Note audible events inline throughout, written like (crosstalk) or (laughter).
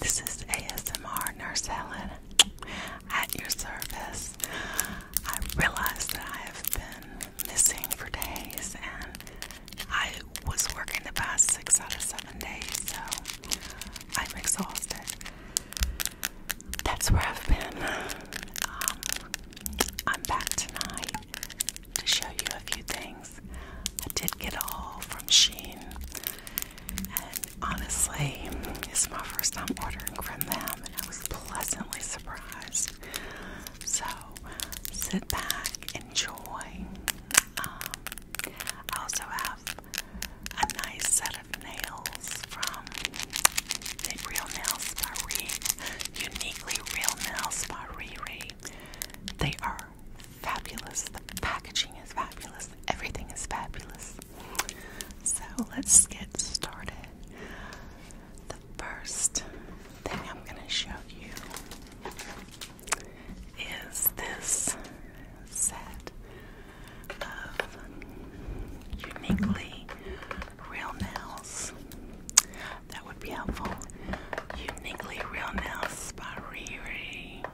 This is ASMR Nurse Helen at your service. I realize that I have been missing for days and I was working the past six out of seven days, so I'm exhausted. That's where I've been. Um, I'm back tonight to show you a few things. I did get all from Sheen, and honestly, it's my first time ordering from them, and I was pleasantly surprised. So, sit back, enjoy. Um, I also have a nice set of nails from Real Nails by Ree, Uniquely Real Nails by Riri. They are fabulous. The packaging is fabulous. Everything is fabulous. So let's get started. The first thing I'm going to show you is this set of uniquely real nails. That would be helpful. Uniquely Real Nails by Riri.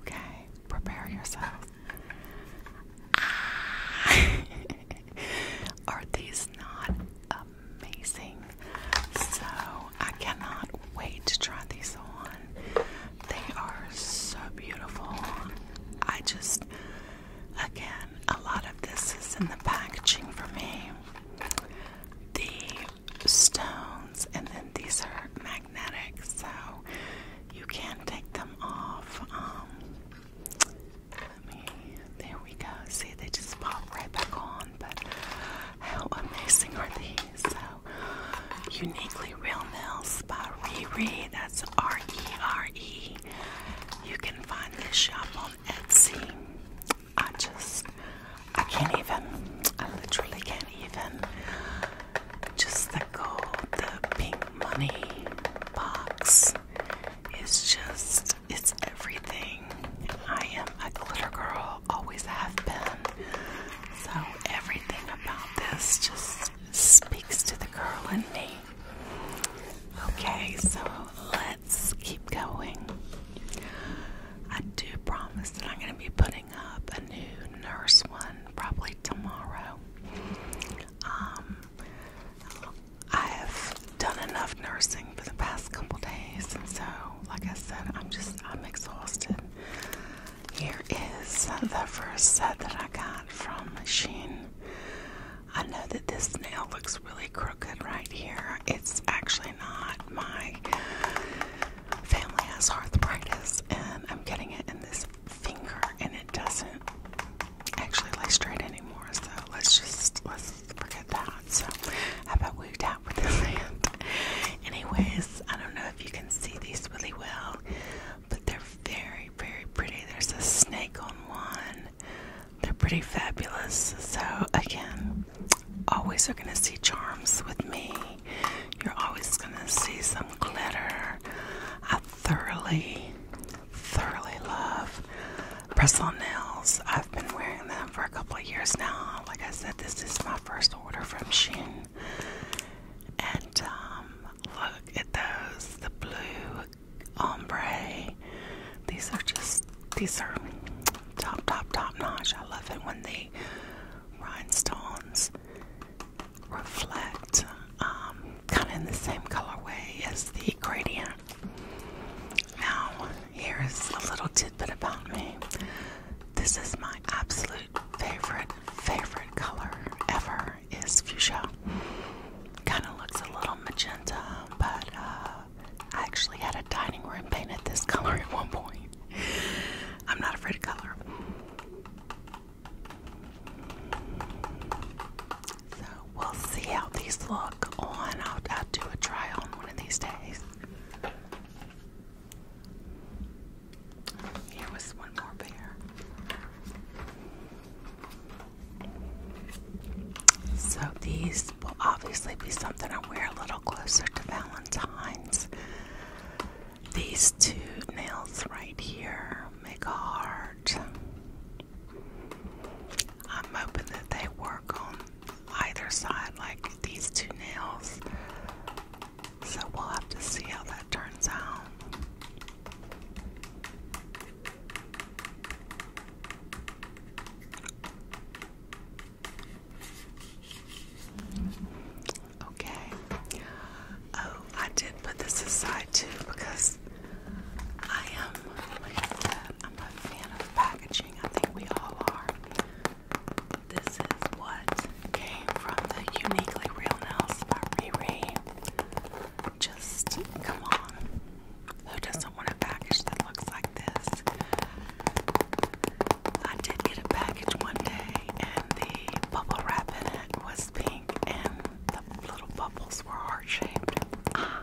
Okay, prepare yourselves. (laughs) Ah. Are these not amazing? So I cannot wait to try these on. They are so beautiful. I just Again, a lot of this is in the packaging for me. The stones, and then these are magnetic, so you can take them off. Um, let me, there we go. See, they just pop right back on, but how amazing are these? So, Uniquely Real Nails by Riri, that's R E R E. You can find this shop on Etsy. I just, I can't even, I literally can't even. Just the gold, the pink money box is just, it's everything. I am a glitter girl, always have been. So everything about this just speaks to the girl in me. Okay, so let's keep going. I do promise that I'm going to be putting up a new nurse one probably tomorrow. Um, I have done enough nursing for the past couple days, and so, like I said, I'm just I'm exhausted. Here is the first set that I got from Sheen. I know that this nail looks really crooked right here. It's actually not. My family has arthritis, and I'm getting it in this finger, and it doesn't actually lay straight anymore. So let's just let's forget that. So how about we tap with this (laughs) hand? Anyways, I don't know if you can see these really well but they're very, very pretty. There's a snake on one. They're pretty fabulous. So, again, always are going to see charms with me. You're always going to see some glitter. I thoroughly, thoroughly love press on nails. I've been wearing them for a couple of years now. Like I said, this is my first order from Shein. And um, look at those the blue ombre. These are just these are top top top notch. I love it when the rhinestones reflect um, kind of in the same colorway as the gradient. Now here is a little tidbit about me. This is my absolute favorite favorite color ever is fuchsia. Kind of looks a little magenta, but uh, I actually had a dining room painted this color at one point. I'm not afraid of color. So we'll see how these look on. i I'll do a try on one of these days. Here was one more pair. So these will obviously be something I wear a little closer to Valentine's. These two nails right here make a heart. I'm hoping that they work on either side like these two nails. So we'll have to see how that turns out. Okay. Oh, I did put this aside too because I am a fan of packaging. I think we all are. This is what came from the Uniquely Real Nails by Riri. Just come on. Who doesn't want a package that looks like this? I did get a package one day, and the bubble wrap in it was pink, and the little bubbles were heart shaped. Ah.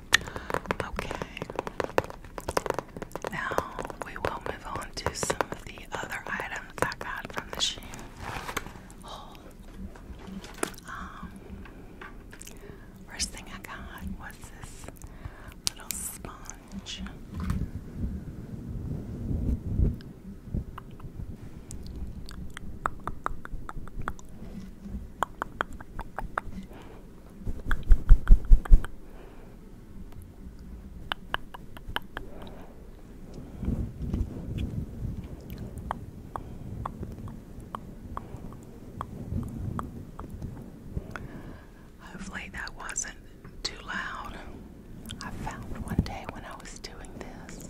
Okay. Now we will move on to some of the other items I got from the shoe haul. Um, first thing I got was this little sponge. Hopefully, that wasn't too loud. I found one day when I was doing this,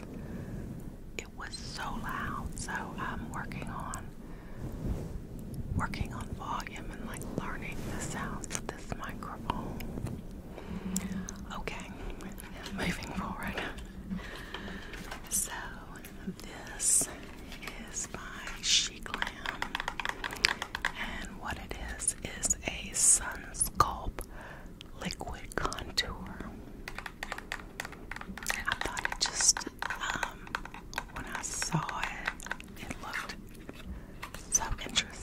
it was so loud, so I'm working on working on volume and like learning the sounds of this microphone. Okay, moving forward. So, this is by Chiclam, and what it is is a sun sculpt liquid contour. I thought it just um, when I saw it, it looked so interesting.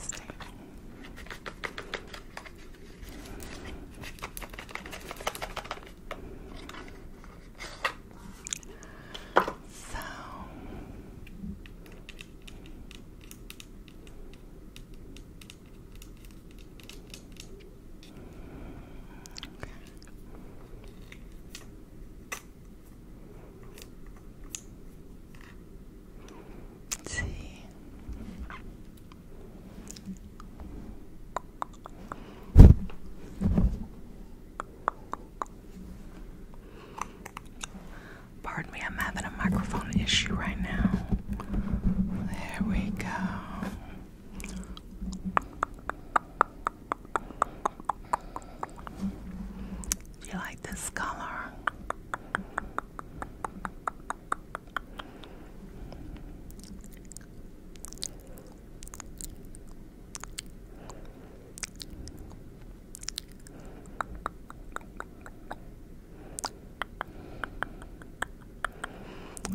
So Sí. Pardon me, I'm having a microphone issue right now. There we go. Do you like this color?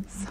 So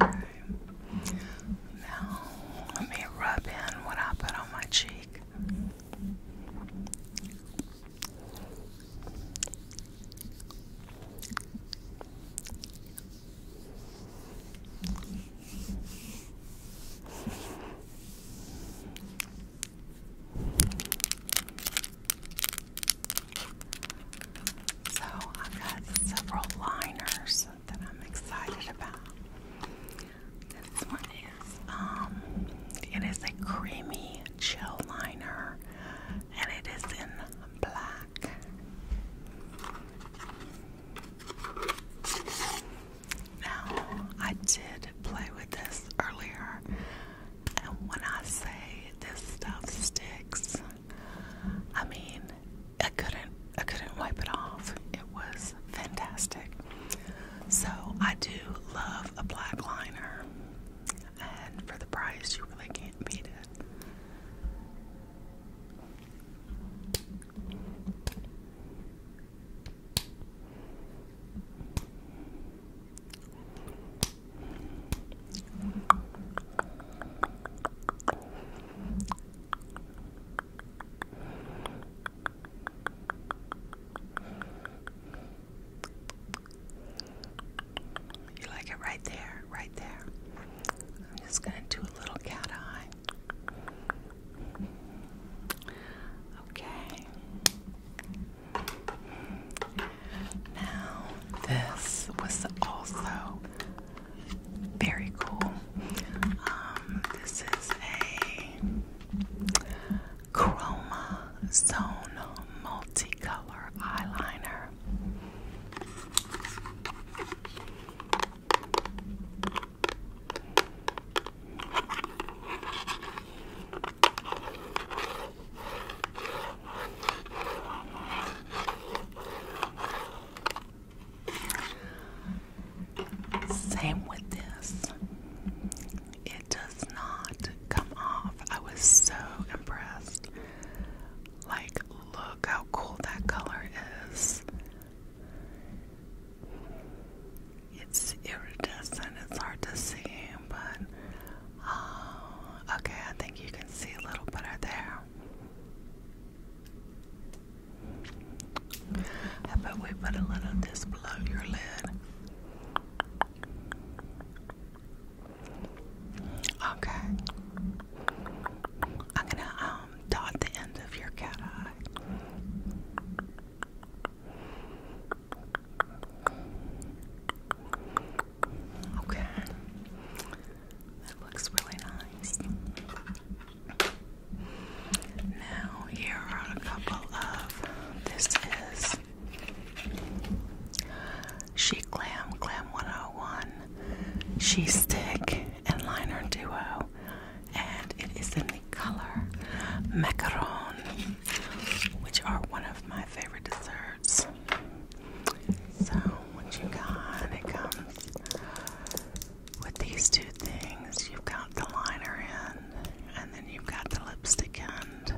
Okay. Now, let me rub in what I put on my cheek. So, I've got several liners that I'm excited about. This one is um it is a creamy gel liner and it is in black. Now I did play with this earlier and when I say this stuff sticks I mean I couldn't I couldn't wipe it off. It was fantastic. So I do love a black liner, and for the price, you really can't beat it. You like it right there, right there. I'm just going to do a little cat eye. Okay. Now, this was also very cool. Um, this is a Chroma Multicolor Eyeliner. Same with this. It does not come off. I was so impressed. Like, look how cool that color is. It's iridescent, it's hard to see, but um, okay, I think you can see a little better there. I bet we put a little of this below your lid? Okay. I'm gonna um dot the end of your cat eye. Okay. That looks really nice. Now, here are a couple of this is She Glam, Glam 101, She Stick, and Liner Duo, and it is in the color macaron, which are one of my favorite desserts. So, what you got? It comes with these two things, you've got the liner in, and then you've got the lipstick end.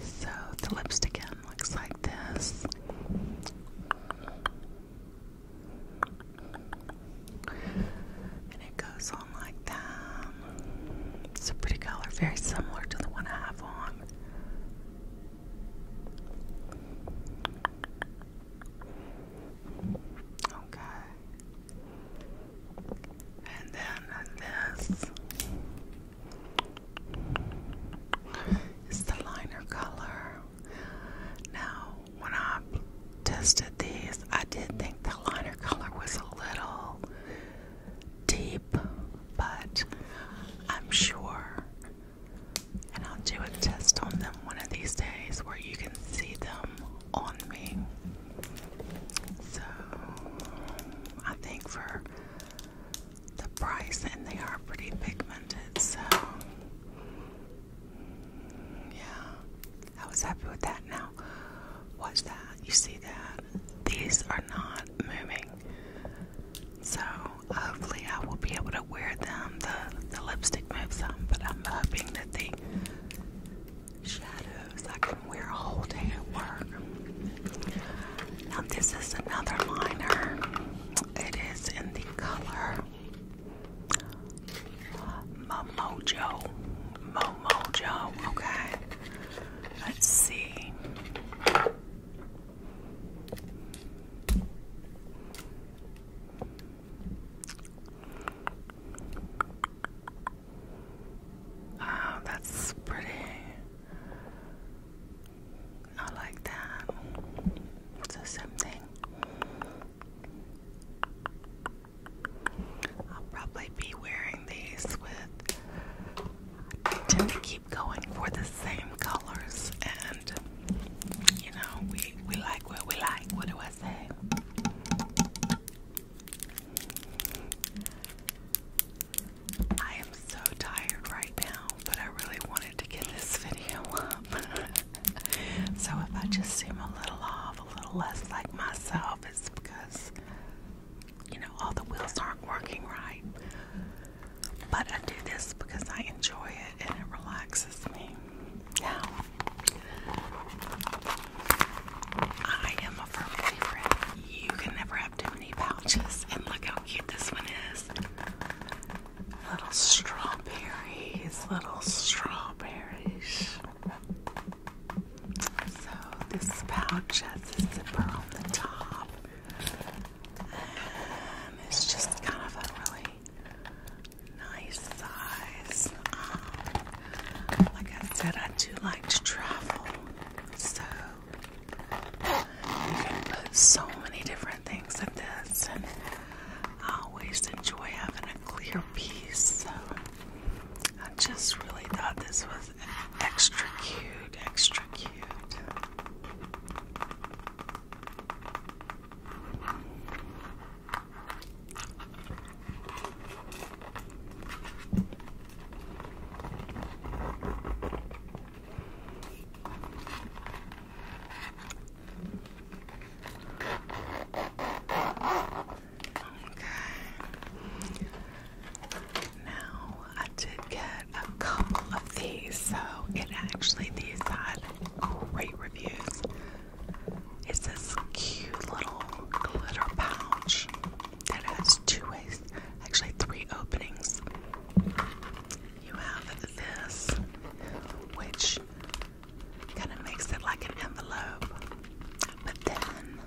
So the lipstick end looks like this. And it goes on like that. It's pretty color, very similar to the one I have on. Okay. And then this is the liner color. Now, when I tested these, I did think the liner color was a little deep, but I'm sure and I'll do a test on them one of these days where you can see them on me. So I think for the price, and they are pretty pigmented, so yeah, I was happy with that. Now, watch that. You see that? These are not moving, so hopefully I will be able to wear them. The the lipstick moves them, but I'm hoping that the shadows I can wear a whole day at work. Now this is another liner. It is in the color Mo Momojo. Momojo, okay. Let's see. Wow, oh, that's pretty. I like that. It's the same thing. I'll probably be wearing these with going for the same colors and you know we we like what we like what do I say I am so tired right now but I really wanted to get this (laughs) video up (laughs) so if I just seem a little off a little less like myself it's because you know all the wheels aren't working right but I do this because I enjoy it and it relaxes me. Now, I am a firm believer you can never have too many pouches. And look how cute this one is. Little strawberries, little strawberries. So, this pouch has a zipper on the top. Um, it's just kind of a really nice size. Um, like I said, I do like to travel, so you can put so many different things in this, and I always enjoy having a clear piece. So I just really thought this was extra cute, extra cute. Okay. Now I did get a couple of these, so it actually these had great reviews. It's this cute little glitter pouch that has two ways, actually three openings. You have this, which kind of makes it like an envelope, but then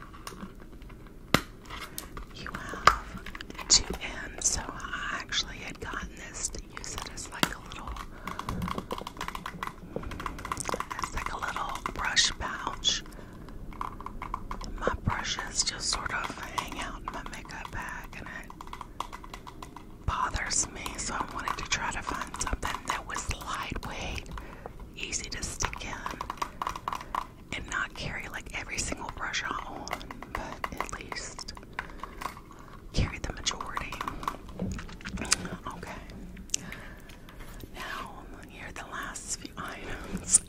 you have two ends. So I actually had gotten this use it as like a little, as like a little brush pouch. my brushes just sort of hang out in my makeup bag, and it bothers me. So I wanted to try to find something that was lightweight, easy to stick in, and not carry like every single brush I but at least carry the majority. Okay. Now, here the last few items.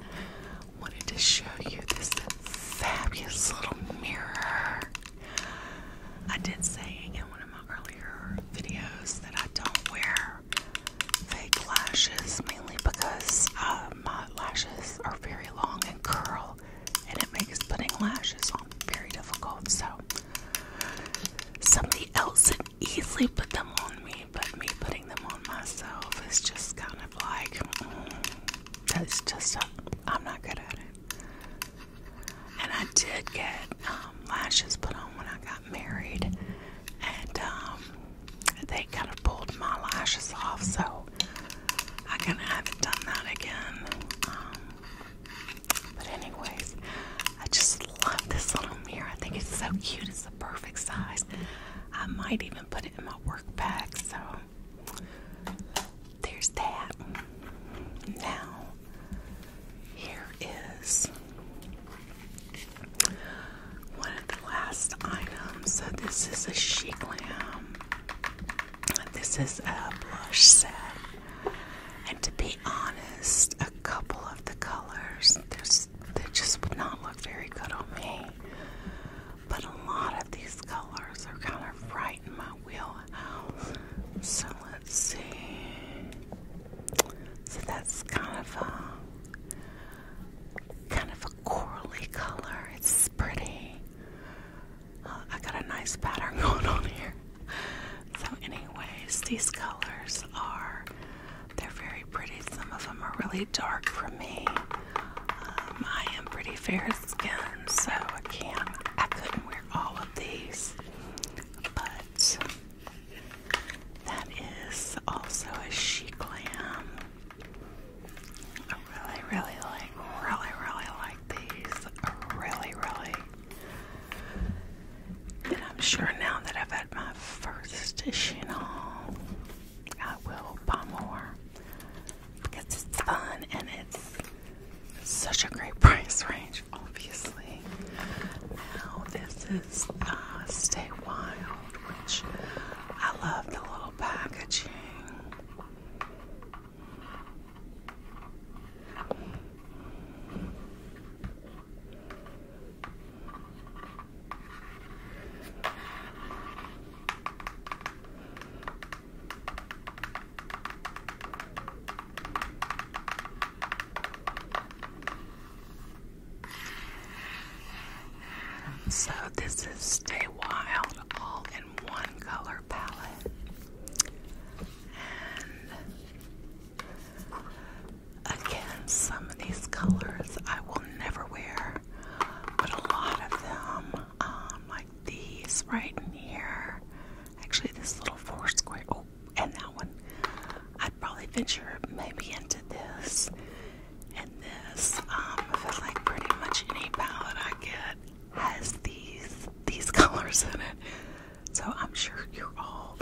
Wanted to show you this fabulous little mirror. I did say in one of my earlier videos that I don't wear fake lashes mainly because uh, my lashes are very long and curl and it makes putting lashes on very difficult. So somebody else could easily put them on me, but me putting them on myself is just kind of like mm, that's just a, I'm not good at it. And I did get um, lashes put on when I got married, and um, they kind of pulled my lashes off, so I kind of haven't done that again. Um, but anyways, I just love this little mirror. I think it's so cute. It's the perfect size. I might even put it in my work bag. So there's that. Now here is one of the last items. So this is a chic lamb. This is a blush set. And to be honest, a couple of the colors, they just would not look very good on me. But a lot of these colors are kind of right in my wheel, So let's see. So that's kind of a kind of a corally color. It's pretty. Uh, I got a nice pattern (laughs) going on here. So, anyways, these colors are they're very pretty. Some of them are really dark for me. Um, I am pretty fair skinned, so I can't I couldn't wear all of these. But that is also a chic lamb really, really like, really, really like these. Really, really. And I'm sure now that I've had my first dish, Chanel, I will buy more because it's fun and it's such a great (laughs) price range, obviously. Now, this is the uh, Stay Wild, which I love the little packaging. So this is Stay Wild all one color palette. And again, some of these colors I will never wear, but a lot of them, um, like these right here, actually, this little four oh, and that one, I'd probably venture maybe into this and this. Um, I feel like pretty much any palette I get, has these these (laughs) colors in it. So I'm sure you all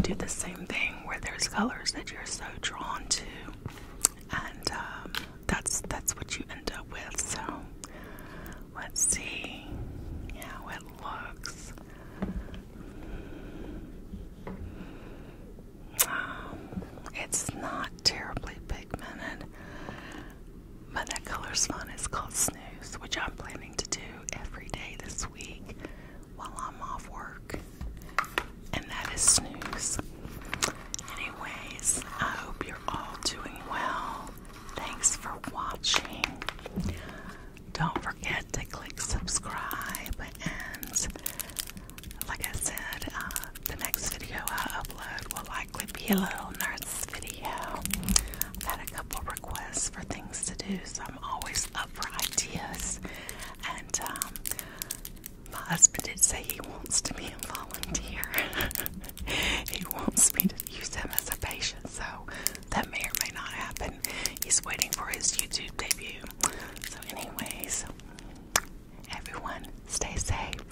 do the same thing where there's colors that you're so drawn to, and um, that's that's what you end up with. So let's see how it looks. Um, it's not terribly pigmented. But that color's fun. It's called Snooze, which I'm planning to do every day this week while I'm off work. And that is Snooze. Anyways, I hope you're all doing well. Thanks for watching. Don't forget to click subscribe and like I said, uh, the next video I upload will likely be a little nerd video. I've had a couple requests for things to do, so I'm always up for ideas. And um, my husband did say he wants to be a volunteer. (laughs) he wants me to use him as a patient, so that may or may not happen. He's waiting for his YouTube debut. So, anyways, everyone stay safe.